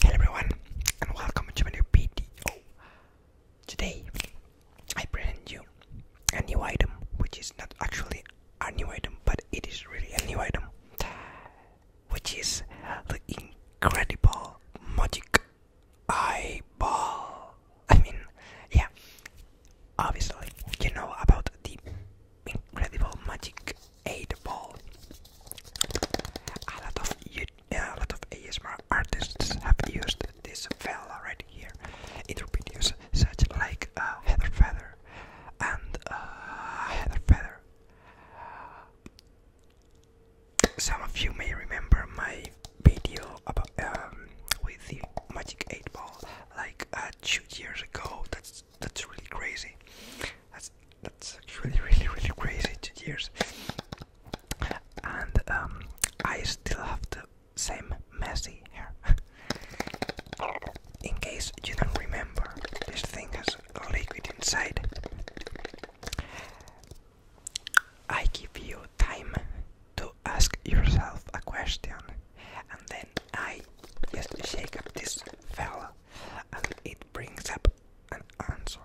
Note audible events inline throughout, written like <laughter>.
Hello everyone and welcome to my new video. Today I present you a new item which is not actually a new item but it is really a new item which is the incredible magic eyeball. I mean, yeah, obviously, you know about the incredible magic 8 ball. A lot of, a lot of ASMR artists have used this fella right here in their videos, such like uh, Heather Feather and uh, Heather Feather. Some of you may remember my video about um, with the Magic 8 Ball like uh, two years ago. That's that's really crazy. That's that's actually <laughs> really really crazy. Two years, and um, I still have the same messy here. <laughs> In case you don't remember, this thing has a liquid inside. I give you time to ask yourself a question, and then I just shake up this fella, and it brings up an answer.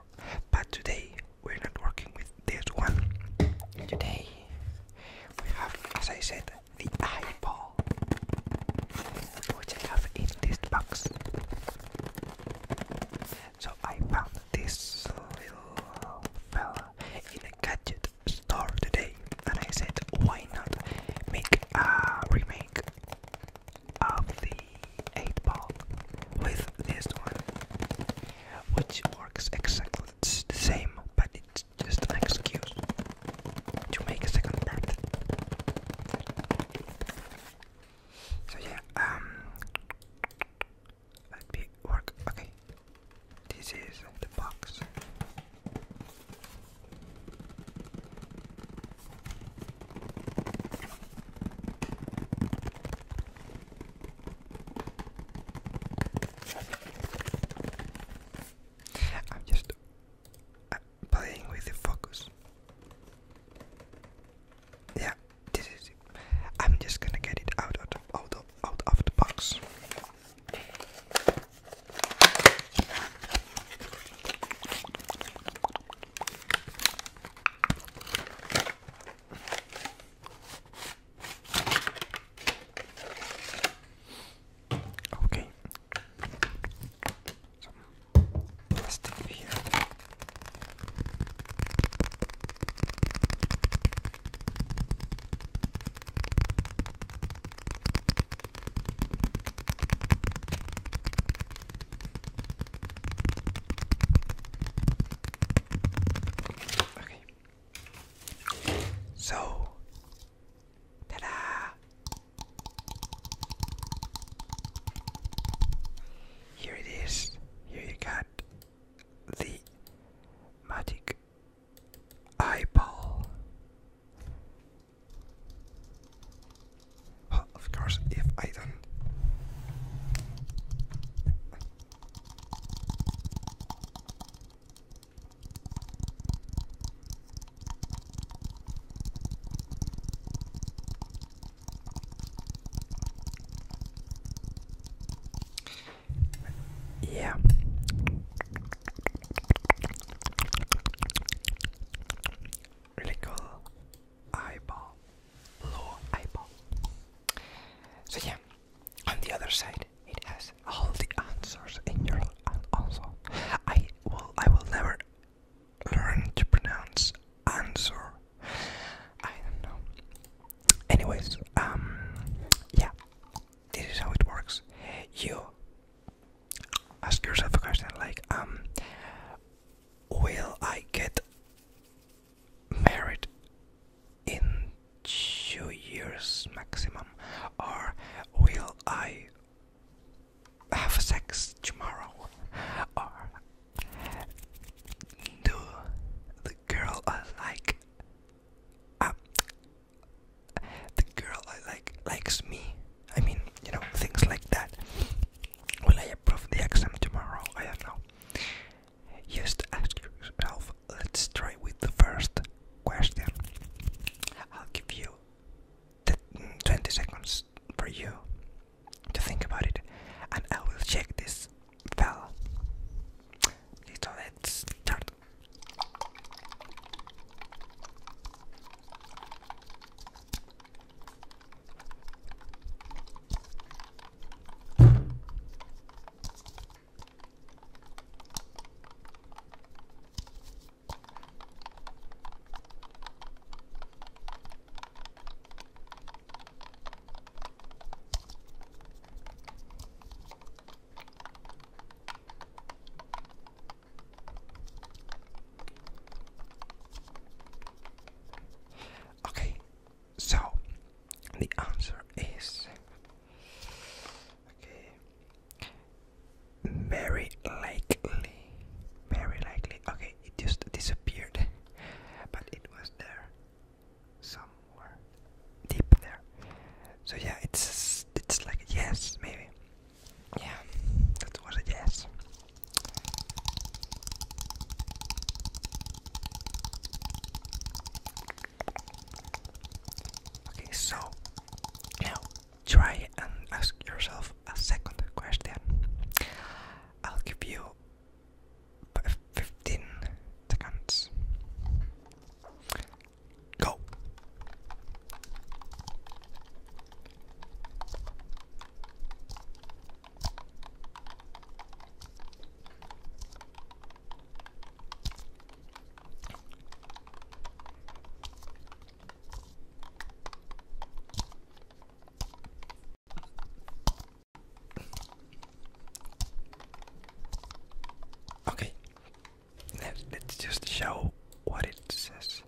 But today we're not working with this one. Today we have, as I said, the eyeball, which I have in this box. So I found this little fella in a gadget store today, and I said, why not make a remake of the 8 ball with this one, which works exactly the same, but it's just an excuse to make a second part. So yeah, um, let me work. Okay. This is the box. I'm just uh, playing with the focus. Yeah, I'm just gonna get it out of the, out of the box. Okay. Some plastic here. Okay. So, ta-da! Here it is. Here you got the magic eyeball. of course, if I don't. Yeah. Really cool eyeball. Blue eyeball. So yeah, on the other side it has all the answers in your also I will I will never learn to pronounce answer. I don't know. Anyways, um, yeah, this is how it works. You ask yourself a question like, um, will I get married in two years maximum, or will I have sex tomorrow, or do the girl I like Ah, the girl I uh, like likes me. I mean, you know, things like that. Will I approve the exam tomorrow? I don't know. Just ask yourself. Let's try with the first question. I'll give you the mm, 20 seconds for you to think about it, and I will check this fell. Okay, so let's start. Okay, so the answer is okay, very likely, very likely. Okay, it just disappeared, but it was there somewhere deep there. So yeah, it's it's like a yes, maybe. Yeah, that was a yes. Okay, so now try and ask yourself a second question. I'll give you 15 seconds. Go. Okay, let's just show what it says.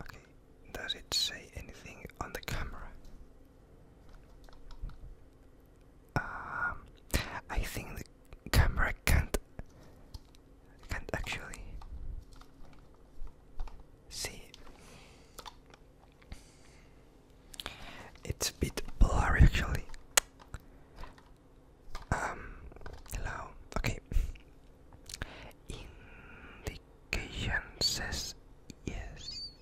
Okay, does it say anything on the camera? Um, I think the camera can't can't actually see it's a bit blurry actually. Um, hello. Okay. Indication yes.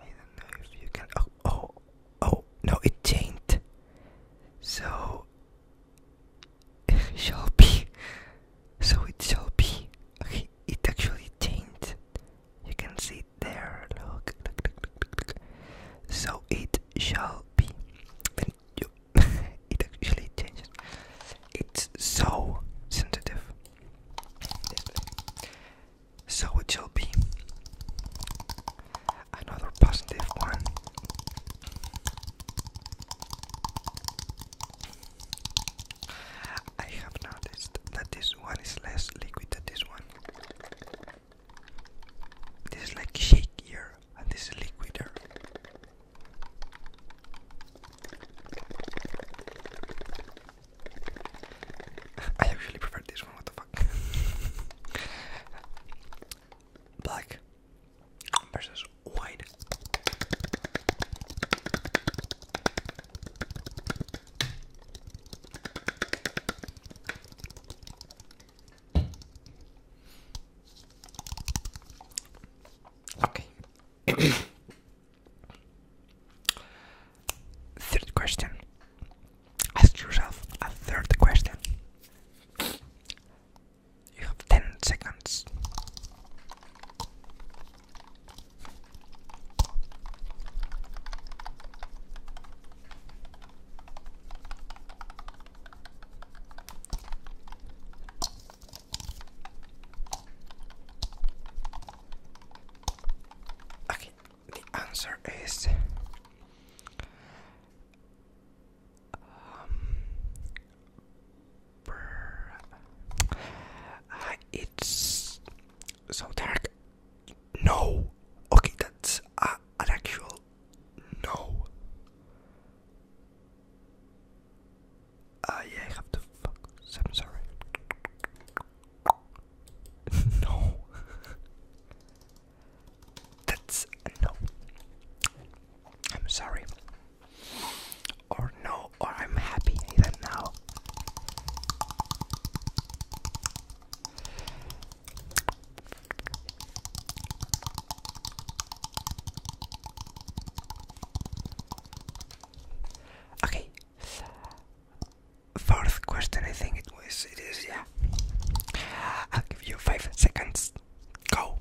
I don't know if you can. Oh, oh, oh, no, it changed. So, <laughs> shall be. So it shall be. Okay, it actually changed. You can see it there. Look, So it shall be. When you <laughs> it actually changes. It's so sensitive. So it shall be another positive one. I have noticed that this one is less liquid than this one. This is like shakier and this is liquider. <laughs> I actually prefer this one, what the fuck? <laughs> Black versus white. Okay. <coughs> third question. Ask yourself a third question. You have 10 seconds. Okay, the answer is um, Ah, it's so dark. No. Okay, that's an actual no. Uh, yeah, I have to focus. I'm sorry. <laughs> no. that's no. I'm sorry. Or no, or I'm happy even now. Okay. Fourth question, I think it was. It is, yeah. I'll give you five seconds. Go.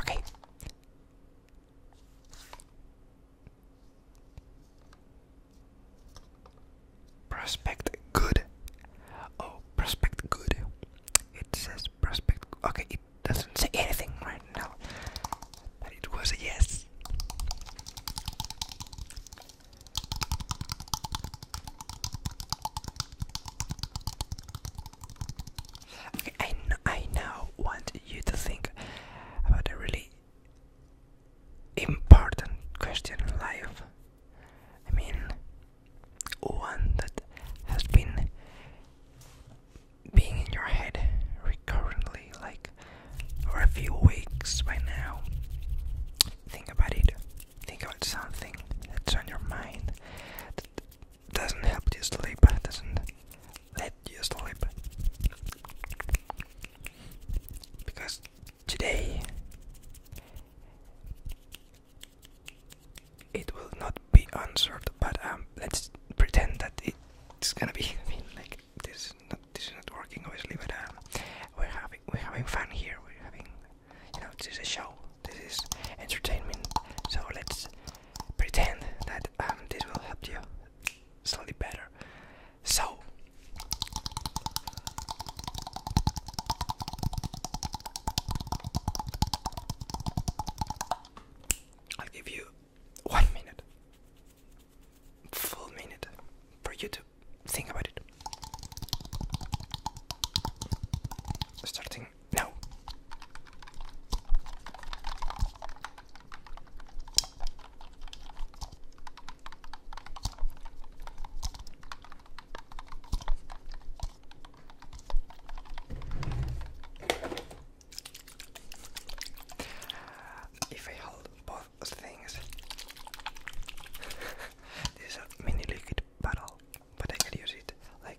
Okay. Prospect good. Oh, prospect good. It says prospect. Okay, it doesn't say anything right now. But it was a yes. I, I now want you to think about a really important question in life. I mean, one that has been being in your head recurrently, like for a few weeks by now. Think about it. Think about something that's on your mind that doesn't help you sleep, doesn't let you sleep. Because today it will not be answered, but um, let's pretend that it's gonna be. <laughs> I mean, like this is not this is not working obviously, but um, we're having we're having fun here. We're having you know, this is a show. This is entertainment. So let's pretend that um, this will help you slightly better. So. I'll give you one minute, full minute, for you to think about it. Starting now. If I hold both things, <laughs> this is a mini liquid battle but I can use it like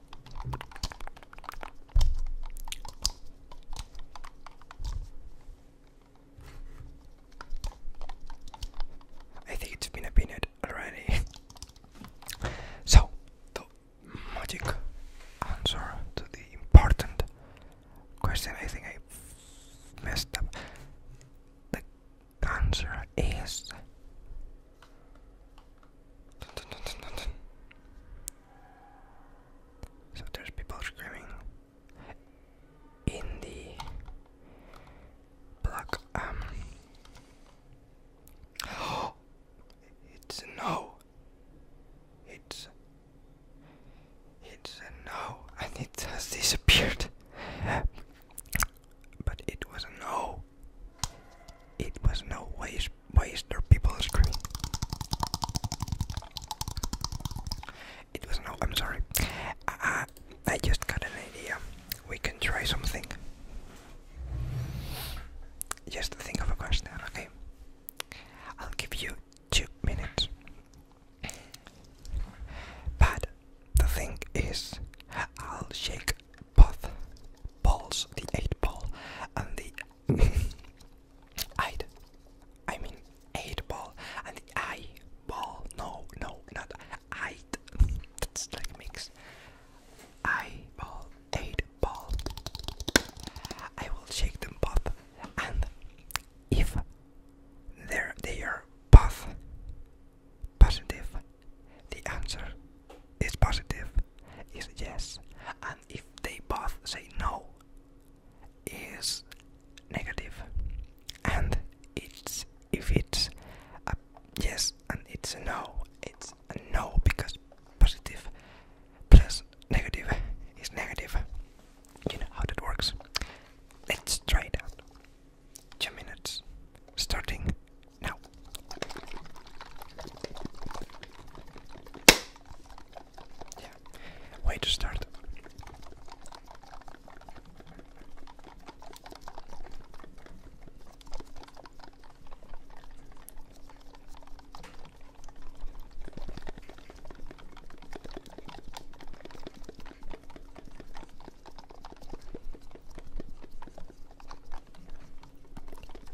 I think it's been a minute already. <laughs> so, the magic answer to the important question I think I messed up. The answer is so there's people screaming in the block. Um. <gasps> it's no. It's. It's no, and it has disappeared. But it was no. It was no waste why is there people screaming? It was no. I'm sorry. I, I just got an idea. We can try something. Just think of a question, okay? I'll give you two minutes. But the thing is, I'll shake path balls, the eight ball, and the eight. <laughs> I mean eight ball and the I ball. No, no, not I. That's like mix. Eye ball, eight ball. I will shake them both, and if there they are both positive, the answer is positive, is yes, and if they both say no, is negative. And it's if it's a yes and it's a no, it's a no because positive plus negative is negative. You know how that works. Let's try it out. Two minutes starting now. Yeah. Way to start.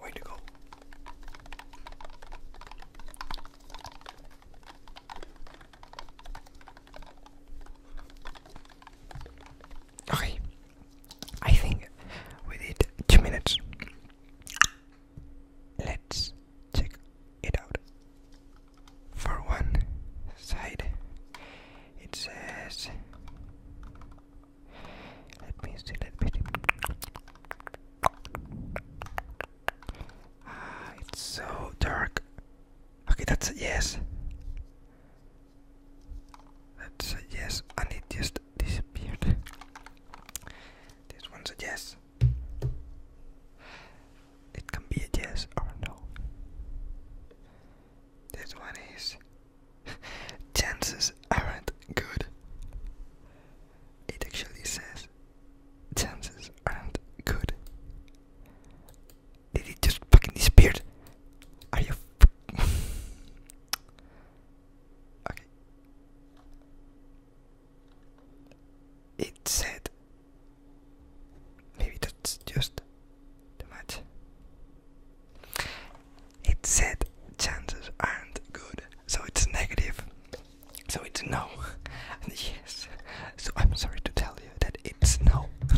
Way to go. Okay, I think we did two minutes. Let's check it out for one side it says let me see that bit ah it's so dark okay that's yes that's yes and it just disappeared this one's a yes it can be a yes or no. This one is <laughs> chances aren't good. It actually says chances aren't good. Did it just fucking disappear? Are you <laughs> Okay. It said Maybe that's just too much. It said chances aren't good, so it's negative. So it's no. <laughs> yes. So I'm sorry to tell you that it's no. <laughs>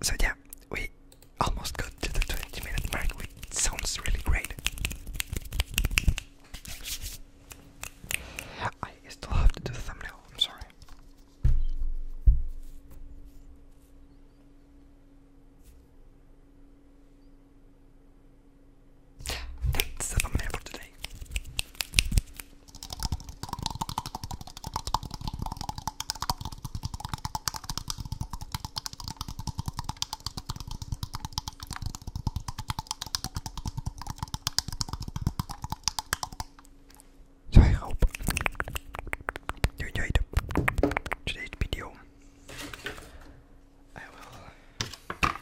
so yeah, we almost got to the 20 minute mark, which sounds really great. I still have to do the thumbnail, I'm sorry. That's the thumbnail for today. I hope you enjoyed today's video. I will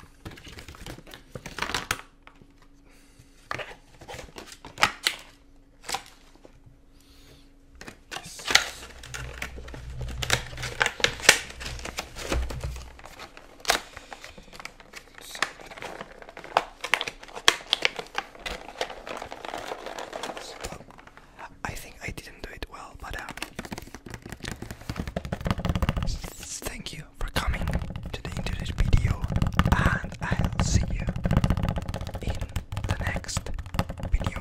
I think I didn't do it well, but um, thank you for coming to the internet video, and I'll see you in the next video.